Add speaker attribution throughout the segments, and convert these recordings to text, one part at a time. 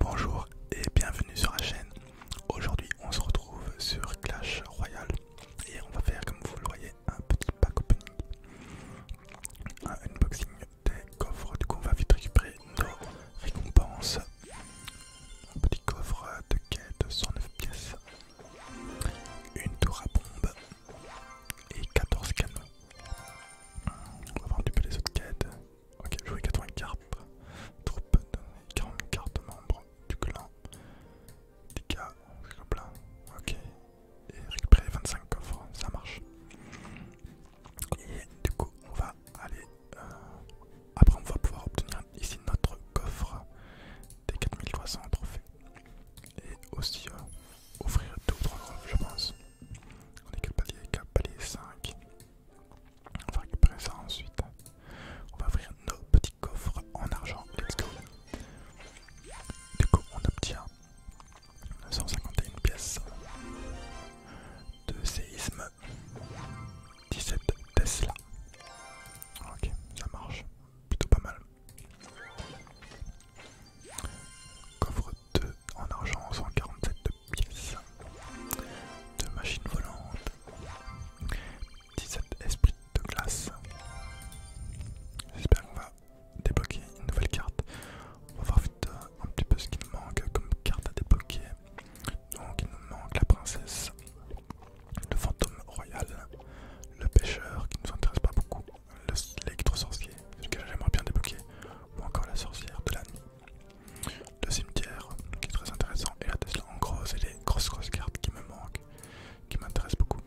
Speaker 1: Bonjour et bienvenue sur la chaîne. Aujourd'hui on se retrouve sur Clash Royale et on va faire comme vous le voyez un petit pack opening, un unboxing des coffres. Du coup on va vite récupérer nos récompenses. Un petit coffre de quête 109 pièces, une tour à bombe et 14 canons. On va voir un petit peu les autres quêtes. Ok, jouer 80 cartes. troupes, de 40 cartes membres du clan. des cas, Ok. Et récupérer 25 coffres, ça marche. Et du coup, on va aller. Euh, après, on va pouvoir obtenir ici notre coffre des 4300 trophées. Et aussi euh, offrir 2 ou 3 coffres, je pense. On est quel palier 5. On va récupérer ça ensuite. On va ouvrir nos petits coffres en argent. Let's go. Du coup, on obtient 151 pièces de séisme, 17 Tesla. Ok, ça marche plutôt pas mal. Coffre 2 en argent, 147 de pièces, machines volantes, 17 esprits de glace. J'espère qu'on va débloquer une nouvelle carte. On va voir vite euh, un petit peu ce qu'il nous manque comme carte à débloquer. Donc il nous manque la princesse, le fantôme royal, le pêcheur qui nous intéresse pas beaucoup, l'électro-sorcier, que j'aimerais bien débloquer, ou encore la sorcière de la nuit. Le cimetière, qui est très intéressant, et la Tesla. En gros, et les grosses grosses cartes qui me manquent, qui m'intéressent beaucoup.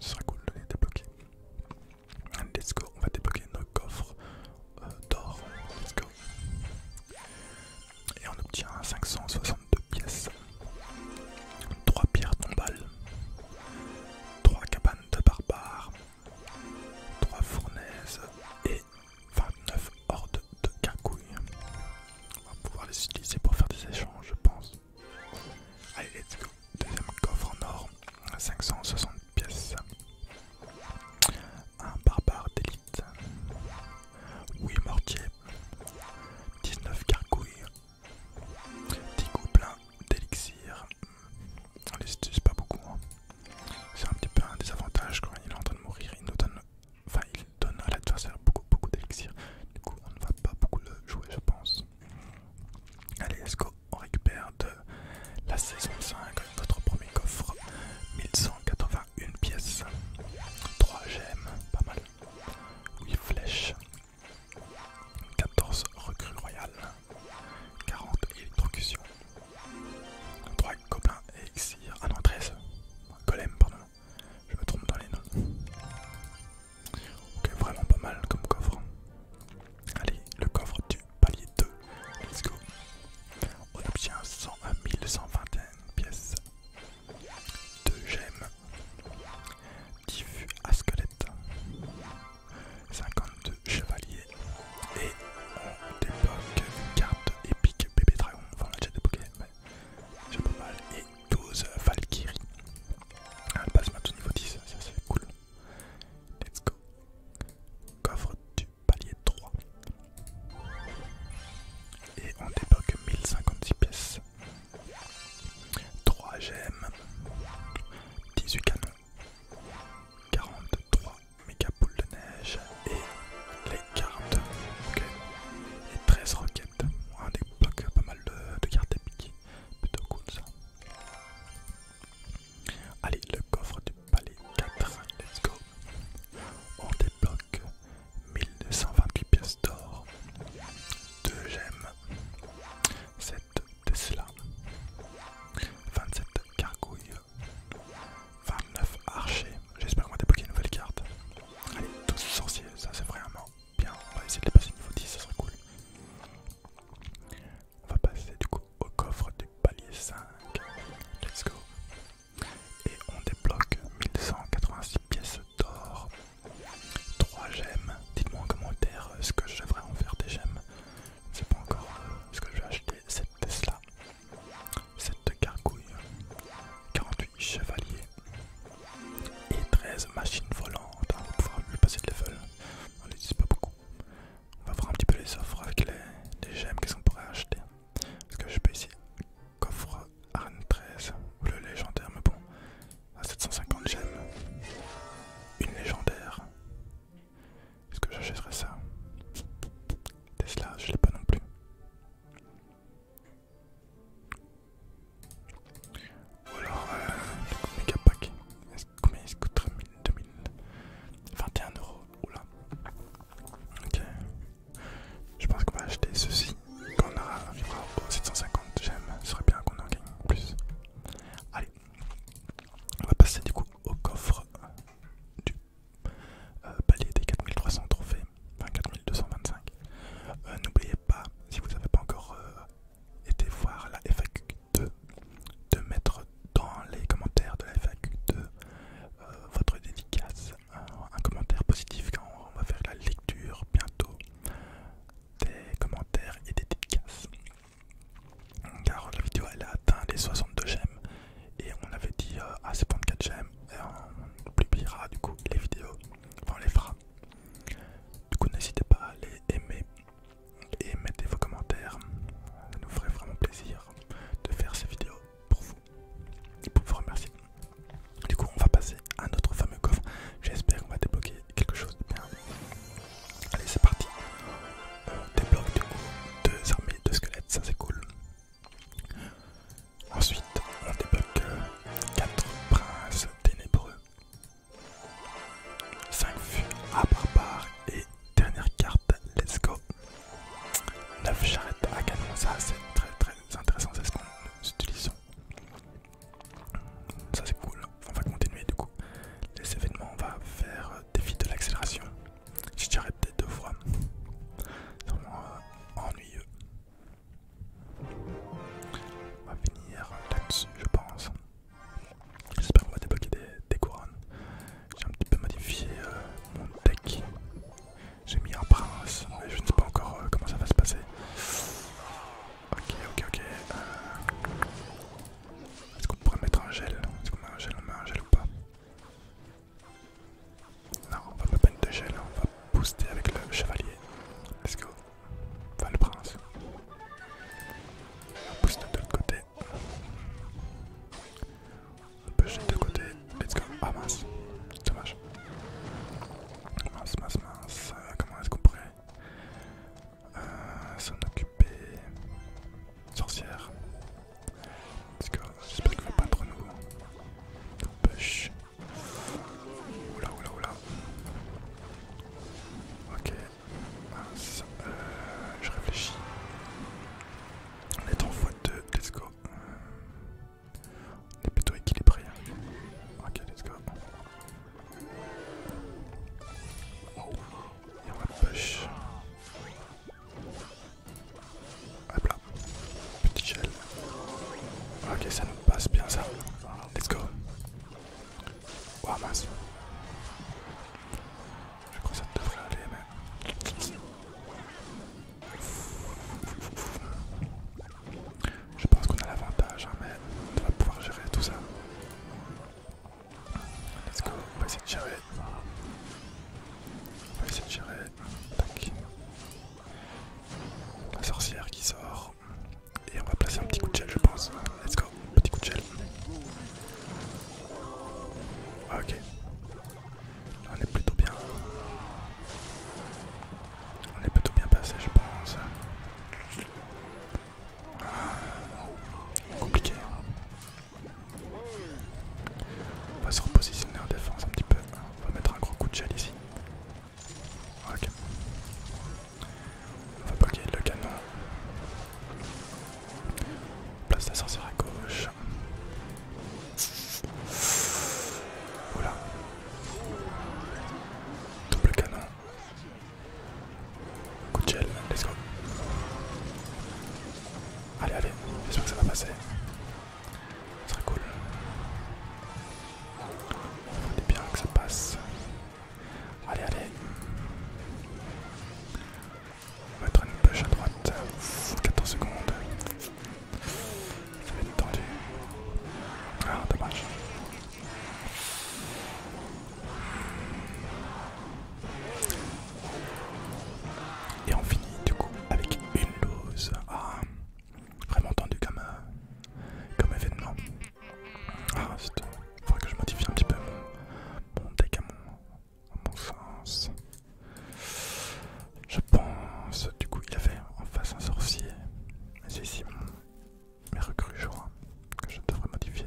Speaker 1: Ce serait cool de les débloquer. Let's go, on va débloquer nos coffres euh, d'or. Let's go. Et on obtient 562 pièces, 3 pierres tombales, 3 cabanes de barbares, 3 fournaises et 29 hordes de carcouilles. On va pouvoir les utiliser pour faire des échanges, je pense. Allez, let's go. Deuxième coffre en or, 560 pièces. Un barbare d'élite. Oui, mortier. 19 carcouilles. 10 pleins d'élixir on les utilise pas beaucoup. Hein. C'est un petit peu un désavantage quand il est en train de mourir. Il nous donne, enfin, il donne à l'adversaire beaucoup, beaucoup d'élixir. Du coup, on ne va pas beaucoup le jouer, je pense. Allez, let's go. On récupère de la saison 5 notre premier coffre 1181 pièces, 3 gemmes, pas mal, 8 flèches, 14 recrues royales, 40 électrocution. 3 copains et XIR, Ah non 13. Golem pardon. Je me trompe dans les noms. Ok vraiment pas mal comme coffre. Allez, le coffre du palier 2. Let's go. On obtient 100 1121 euh, pièces. de gemmes diffus à squelette, 52 chevaliers et on débloque une carte épique bébé dragon, enfin on l'a déjà débloqué mais j'ai pas mal, et 12 valkyries Un passe de niveau 10, ça c'est cool. Let's go. Coffre du palier 3. Et on débloque 1056 pièces. 3 gemmes, 18 canons 43 méga boules de neige et les cartes. Ok. Et 13 roquettes. On débloque pas mal de, cartes épiques. Plutôt cool ça. Allez, le coffre du palais 4. Let's go. On débloque 1228 pièces d'or. 2 gemmes. 7 cela, 27 cargouilles, 29 archers, J'espère qu'on va débloquer une nouvelle carte. Allez, 12 sorciers, ça c'est vraiment bien. On va essayer de les passer niveau 10, ça serait cool. On va passer du coup au coffre du palier 5. Let's go. Et on débloque 1286 pièces d'or 3 gemmes. Dites-moi en commentaire euh, ce que je devrais en faire des gemmes. Je ne sais pas encore euh, ce que je vais acheter. Cette Tesla, cette gargouille, 48 chevaliers et 13 machines volantes. Ah, on va pouvoir passer de level. On les utilise pas beaucoup. On va voir un petit peu les offres avec les, gemmes. Qu'est-ce qu'on pourrait acheter Est-ce que je peux ici coffre arène 13 ou le légendaire, mais bon, à 750 gemmes. Une légendaire. Est-ce que j'achèterais ça Tesla, je l'ai pas non plus. Ou alors, euh, le méga pack. combien il se coûterait 2000, 21 euros. Oula. Ok. Je pense qu'on va acheter ceci on arrivera 750 j'aime, ce serait bien qu'on en gagne plus. Allez, on va passer du coup au coffre du euh, palier des 4300 trophées, enfin 4225. Euh, n'oubliez pas, si vous n'avez pas encore euh, été voir la FAQ2, de mettre dans les commentaires de la FAQ2 votre dédicace, un, un commentaire positif quand on va faire la lecture bientôt des commentaires et des dédicaces. Car la vidéo elle a atteint les 62 j'aime et on avait dit euh, à ces gemmes j'aime on publiera du coup les vidéos, enfin on les fera. Du coup n'hésitez pas à les aimer et mettez vos commentaires, ça nous ferait vraiment plaisir de faire ces vidéos pour vous et pour vous remercier. Du coup, on va passer à notre fameux coffre. J'espère qu'on va débloquer quelque chose de bien. Allez, c'est parti. Euh, débloque du coup deux armées de squelettes, ça c'est cool. Ensuite, on débloque 4 euh, princes ténébreux, 5 vues à barbares et dernière carte, let's go. 9 charrettes à canon, ça c'est très très intéressant, c'est ce qu'on utilise ça c'est cool. On va continuer du coup. Les événements, on va faire euh, défi de l'accélération. J'ai déjà répété deux fois. C'est vraiment euh, ennuyeux. On va finir là-dessus, je pense. J'espère qu'on va débloquer des, couronnes. J'ai un petit peu modifié euh, mon deck. J'ai mis un prince, mais je ne sais pas encore euh, comment ça va se passer. Ok, ok, ok. Euh, est-ce qu'on pourrait mettre un gel Est-ce qu'on met un gel On met un gel ou pas Non, on va pas mettre de gel, on va booster avec le chevalier. Let's go. Enfin, le prince. On booste de l'autre côté. On peut jeter de côté. Let's go. Ah mince, dommage. Mince, mince, mince. Euh, comment est-ce qu'on pourrait euh, s'en occuper Sorcière. Let's go. J'espère qu'il ne va pas être nous. Push. Oula, oula, oula. Ok. Mince. Euh, je réfléchis. On est en fois deux. Let's go. On est plutôt équilibré. Hein. Ok, let's go. Oh. y a de push. Hop là. Petit gel. Ok, ça nous passe bien ça. Let's go. wow, mince. Je crois que ça devrait aller, mais. Je pense qu'on a l'avantage, hein, mais on va pouvoir gérer tout ça. Let's go, on va essayer de gérer. On va essayer de gérer. La sorcière qui sort. Et on va placer un petit coup de gel, je pense. Let's go, petit coup de gel. Ah, ok, on est plutôt bien. On est plutôt bien passé, je pense. Ah, compliqué. On va se repositionner en défense un petit peu. On va mettre un gros coup de gel ici. Ok. On va bloquer le canon. place la sorcière à gauche. Oula Double canon. Coup de gel, let's go. Allez, allez, j'espère que ça va passer. Ce serait cool. On bien que ça passe. Allez, allez. On va mettre une push à droite. 14 secondes. Ça va être tendu. Ah, dommage. Et on finit du coup avec une lose. Ah, vraiment tendu comme, euh, événement. Ah, il faudrait que je modifie un petit peu mon, mon deck à mon, mon sens. Je pense, du coup, il avait en face un sorcier. Mais c'est ici mes recrues, je crois, que je devrais modifier.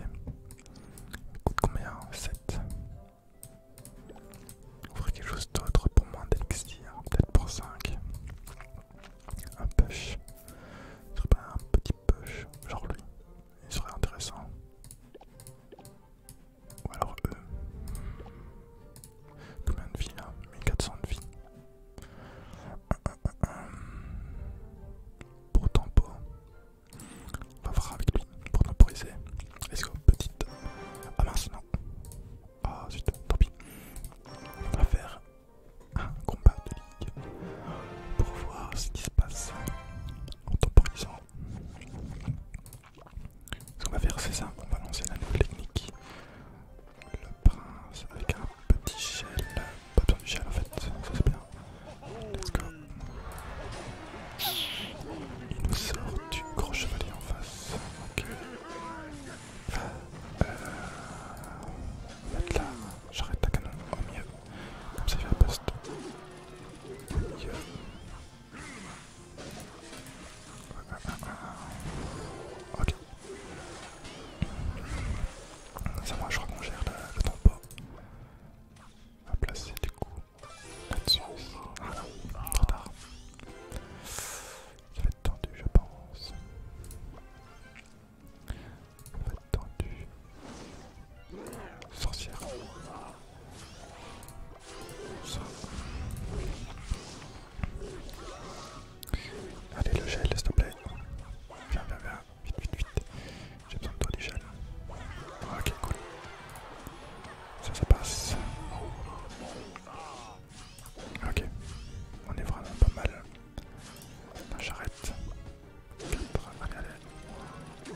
Speaker 1: Écoute, combien 7. Ouvrir quelque chose d'autre pour moins d'élixir, peut-être pour 5. Un push. Ce serait un petit push, genre lui. Il serait intéressant. Ou alors eux. Combien de vies là 1400 de vie. Euh, euh, euh, pour tempo. On va voir avec lui pour temporiser. Let's go, petite. Ah mince, non. Ah zut, tant pis. On va faire un combat de ligue pour voir ce qui se passe en temporisant. Ce qu'on va faire c'est ça. on va lancer la nouvelle technique. Le prince avec un petit gel. pas besoin du gel en fait, ça c'est bien. Let's go. Il nous sort du gros chevalier en face. Ok. Euh, on va mettre là, j'arrête ta canon au mieux. Comme ça il va poste au mieux. Ok. C'est moi, je crois qu'on gère le, le tempo. On va placer du coup là-dessus. Ah non, trop tard. Ça va être tendu, je pense. Ça va être tendu. Sorcière. Allez, le gel, s'il te plaît. Viens, viens, viens. Vite, vite, vite. J'ai besoin de toi, du gel. Ah, ok, cool. Ça, ça passe. Ok, on est vraiment pas mal. J'arrête. Allez, allez.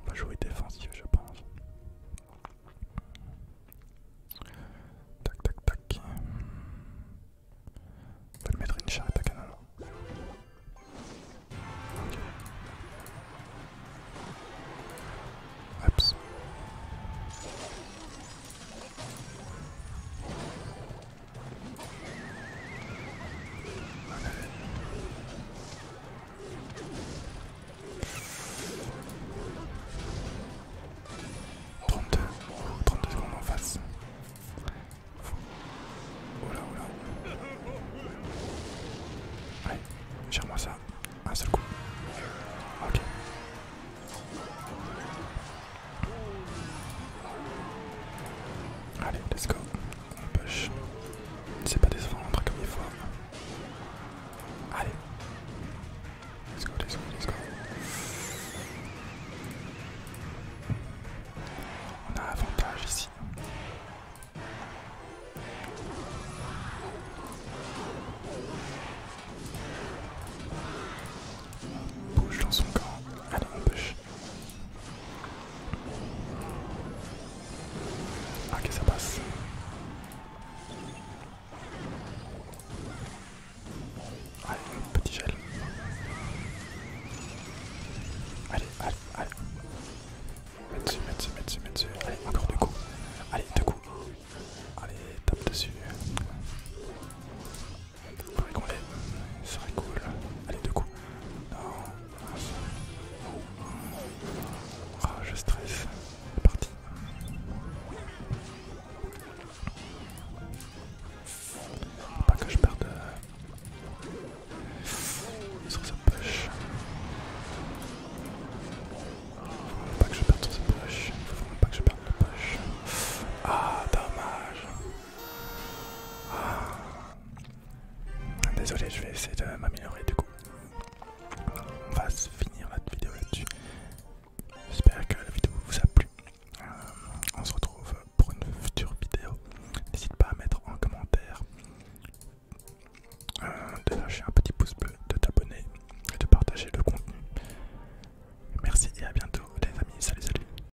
Speaker 1: On va jouer défensif, je pense. Tac, tac, tac. On va lui mettre une charrette à canon. Ok. 32, 32 secondes en face. Oula, oula. Allez, gère-moi ça. Un seul coup. Ok. Allez, let's go. On push. C'est pas décevant, on comme il faut. Allez. Let's go, let's go, let's go. On a avantage ici. Bouge dans son camp. Allez, on push. Ah, que ça passe. Allez, petit gel. Allez, allez, allez. Mets dessus, mets dessus, mets dessus, mets dessus. Allez, encore deux coups. Allez, deux coups. Allez, tape dessus. Faudrait serait cool. Allez, deux coups. Non, oh, je stresse. C'est parti. pas que je perde euh, sur sa poche. Faut pas que je perde sur sa poche. Faut pas que je perde la poche. Ah, dommage. Ah, Désolé, je vais essayer de m'améliorer du coup. On va finir la vidéo là-dessus. J'espère que la vidéo vous a plu. Euh, on se retrouve pour une future vidéo. N'hésite pas à mettre en commentaire, euh, de lâcher un petit pouce bleu, de t'abonner et de partager le contenu. Merci et à bientôt les amis. Salut, salut.